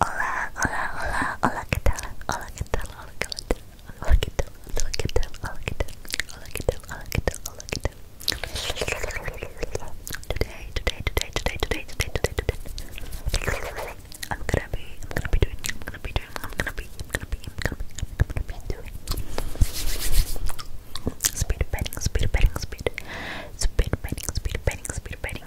Hola, hola, hola, hola, ¿qué tal? Hola, ¿qué tal? Hola, ¿qué tal? Hola, ¿qué tal? Hola, ¿qué tal? Hola, ¿qué tal? Hola, ¿qué tal? Hola, ¿qué tal? Hola, ¿qué tal? Today, today, today, today, today, today, today, today. I'm gonna be, I'm gonna be doing, I'm gonna be doing, I'm gonna be, I'm gonna be, I'm gonna be, I'm gonna be, I'm gonna be doing. Speed betting, speed betting, speed, speed betting, speed betting, speed betting.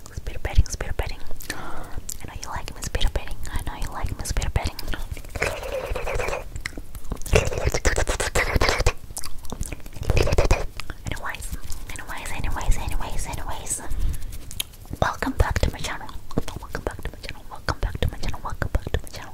Spider bedding, spider bedding. I know you like spider bedding. I know you like spider bedding. Anyways, anyways, anyways, anyways, anyways. Welcome back to my channel. Welcome back to my channel. Welcome back to my channel. Welcome back to my channel.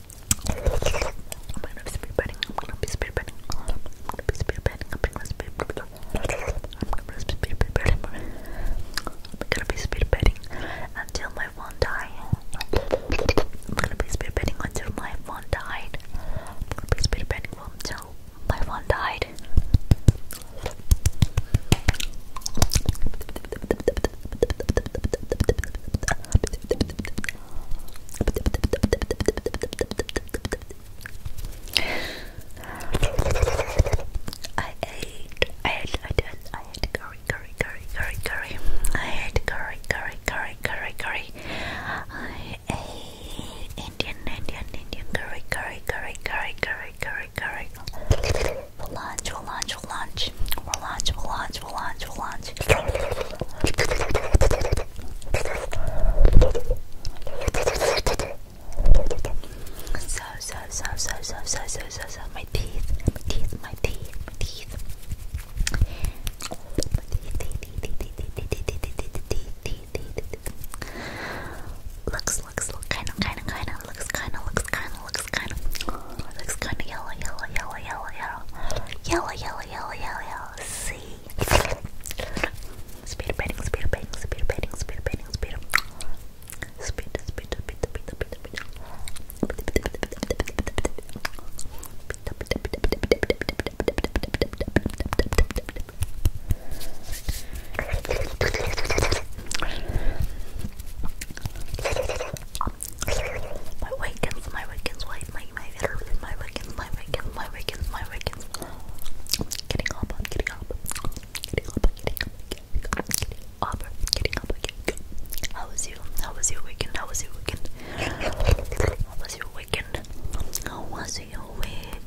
I'm gonna be speed betting. until my phone dies. I'm gonna be speed betting until my phone died. I'm gonna be speed betting until my phone died. I ate, I ate, I did, I ate curry, curry, curry, curry, curry. I ate curry, curry, curry, curry, curry. I ate Indian, Indian, Indian curry, curry, curry, curry, curry, curry, curry. We'll launch, we'll launch, we'll launch. We'll launch, we'll launch, we'll launch, we'll launch. So, so, so, so, so, so, so, so, so, my teeth, my teeth, my teeth, my teeth. Looks, looks, look, kinda, kinda, kinda, looks, kinda, looks, kinda, looks kind of it looks kind of yellow, yellow, yellow, yellow, yellow, yellow, yellow, yellow, yellow, yellow. See, speed painting, speed painting, speed painting, speed painting, speed, speed, speed, speed, speed, speed, speed. My Wiccans, my Wiccans, my my my my Wiccans, my Wiccans, my Wiccans, my Wiccans. Getting up, I'm getting up, getting up, getting up, getting up, getting up, getting up, getting up. How was you? How was your weekend? How was your weekend? How was your weekend? How was your weekend?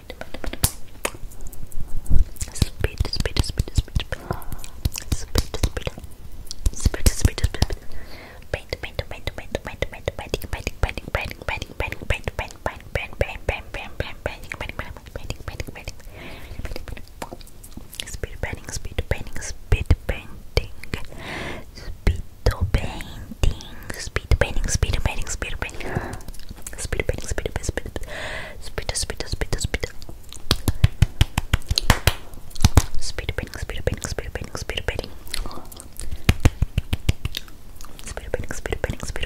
speed, speed, speed, speed, speed, speed, speed, speed. Speed, speed, speed, paint, paint, paint, paint, paint, paint, painting, painting, painting, painting, painting, painting, painting, painting, painting, painting, painting, painting, painting, painting, painting, painting, speed painting, speed painting, speed painting, speed painting, speed painting, speed painting, speed painting, speed painting, speed painting, speed speed speed speed speed speed painting, speed painting, speed painting, speed painting, speed painting, speed painting, speed painting, speed speed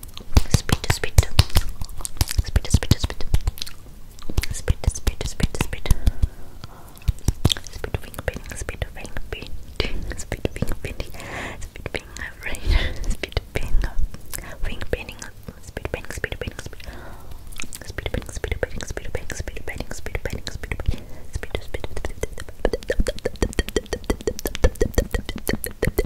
spit spit spit spit spit spit spit spit spit spit finger painting spit finger painting spit finger painting spit finger painting spit finger finger painting spit painting spit painting spit spit painting spit painting spit painting spit painting spit painting spit painting spit spit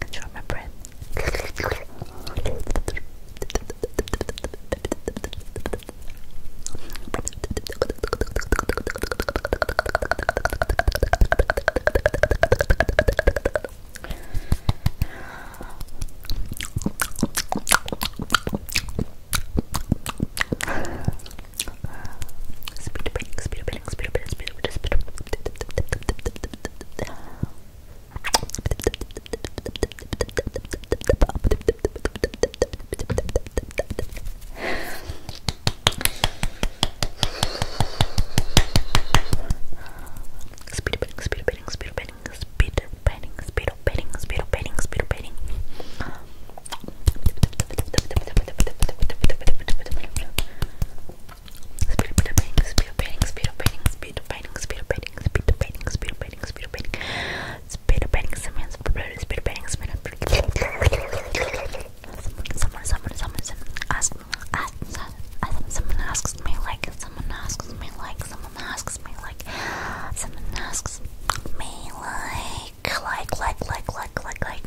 Control my breath. Speed break, speed break relax. Speed painting, speed painting, speed painting, speed painting, speed painting, speed painting, speed painting. Speed of painting, speed of painting, speed of painting, speed of painting, speed of painting, speed of painting, speed of painting, speed of painting, speed of painting, summon, speed of painting, summon, someone, someone, someone, someone asks, someone asks me like, someone asks me like, someone asks me like, someone asks me like, like, like, like, like, like, like, like,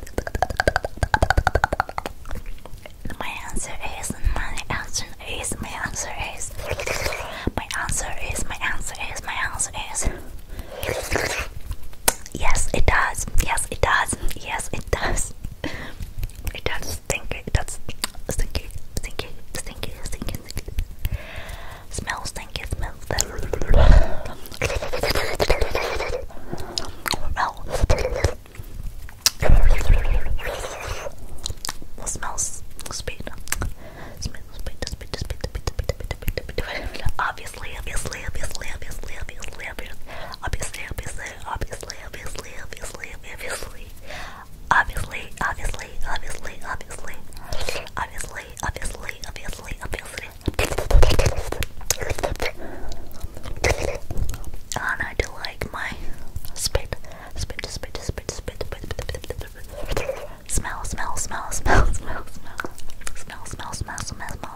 My answer is my answer is my answer is my answer is my answer is my answer is Yes it does yes it does yes it does it does stinky it does stinky stinky stinky stinky stinky smells stinky smells the smells speed. Smell speed, speed, speed, speed, speed, speed, Obviously, obviously, obviously, obviously, obviously, obviously, obviously, obviously, obviously, obviously, obviously. Obviously, obviously, obviously, obviously, obviously, obviously, obviously, obviously, and I do like my spit, spit, spit, spit, spit, spit, smell, smell, smell, smell, smell, smell, smell, smell, smell, smell, smell, smell.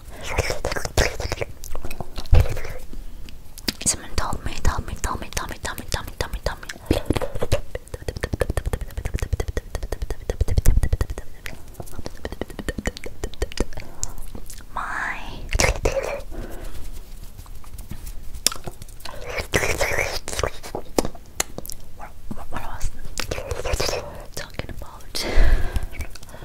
Someone told me, told me, told me, told me, told me, told me, told me, told me. My what, what, what I was talking about.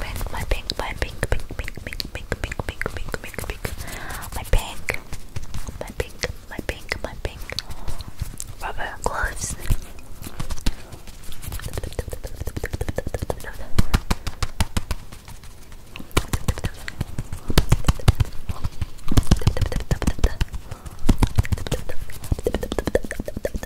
pink, my pink, my pink, pink, pink, pink, pink, pink, pink, pink, pink, pink, my pink, my pink, my pink, my pink, rubber gloves.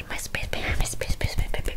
space, my space, my space, my space, my space, my space.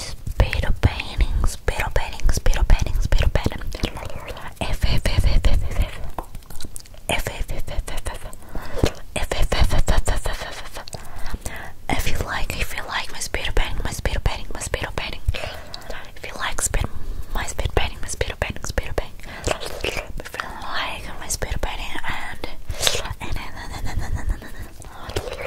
Speedo painting, speedo painting, speedo painting, speedo painting. F F F F F F F. F F F F F F. F F F F F F F F. If you like, if you like my speedo painting, my speedo painting, my speedo painting. If you like speed, my speed painting, my speedo painting, speedo painting. If you like my speedo painting and and and and and and and and.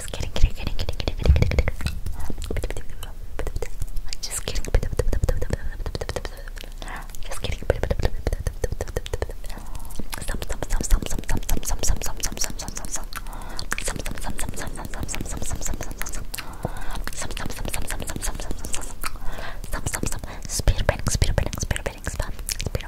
Just kidding, kidding, kidding, kidding, kidding, kidding, kidding, kidding, kidding. Just kidding. Just kidding. Some, some, some, some, some, some, some, some, some, some, some, some, some, some, some. Some, some, some, some, some, some, some, some, some, some, some, some, some. Some, some, some, some, some, some, some, some, some, some. Some, some, some. Spear betting, spear betting, spear betting, spam, spear.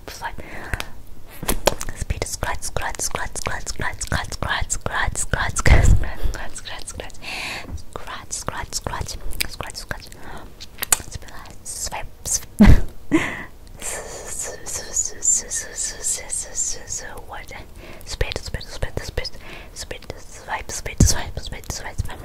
fly. Speed scratch, scratch, scratch, scratch, scratch, scratch, scratch, scratch, scratch, scratch, scratch, scratch, scratch, scratch, scratch, scratch, scratch, scratch. Swipe, swipe. What? Speed, speed, speed, speed, speed, swipe, speed, swipe, speed, swipe, swipe.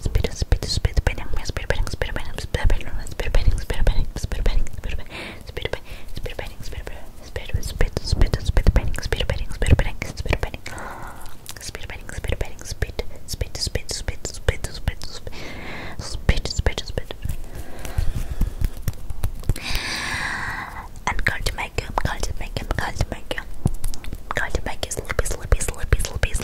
Speed, speed, speed, beating, speed, beating, speed, beating, speed, beating, speed, beating, speed, beating, speed, beating, speed, beating, speed, beating, speed, beating, speed, beating, speed, speed, speed, beating, speed, beating, speed, beating, speed, beating, speed, beating, speed, beating, speed, speed, speed, speed, speed, speed, speed, speed, speed. I'm going to make you, I'm going to make you, I'm going to make you, I'm going to make you sleepy, sleepy, sleepy, sleepy,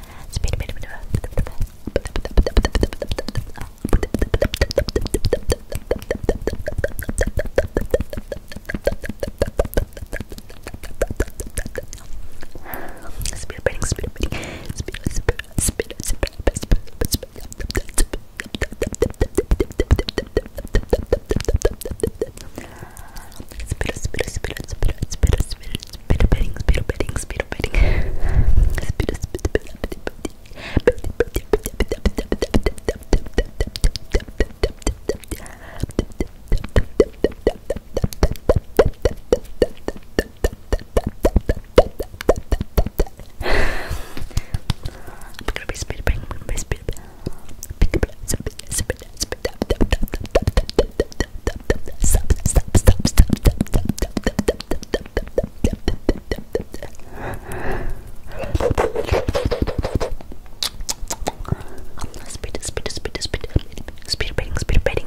Speed, speed, speed, speed, speed, speed, speed, speed, Speedo, speedo, speedo, speedo, speedo, speedo, speedo bedding, speedo bedding, speedo bedding. Speedo, speedo, speedo, I'm gonna be speed bang, I'm gonna be speed bang. Speed, speed, Speed, speed, speed, speed, speed baiting, speed baiting.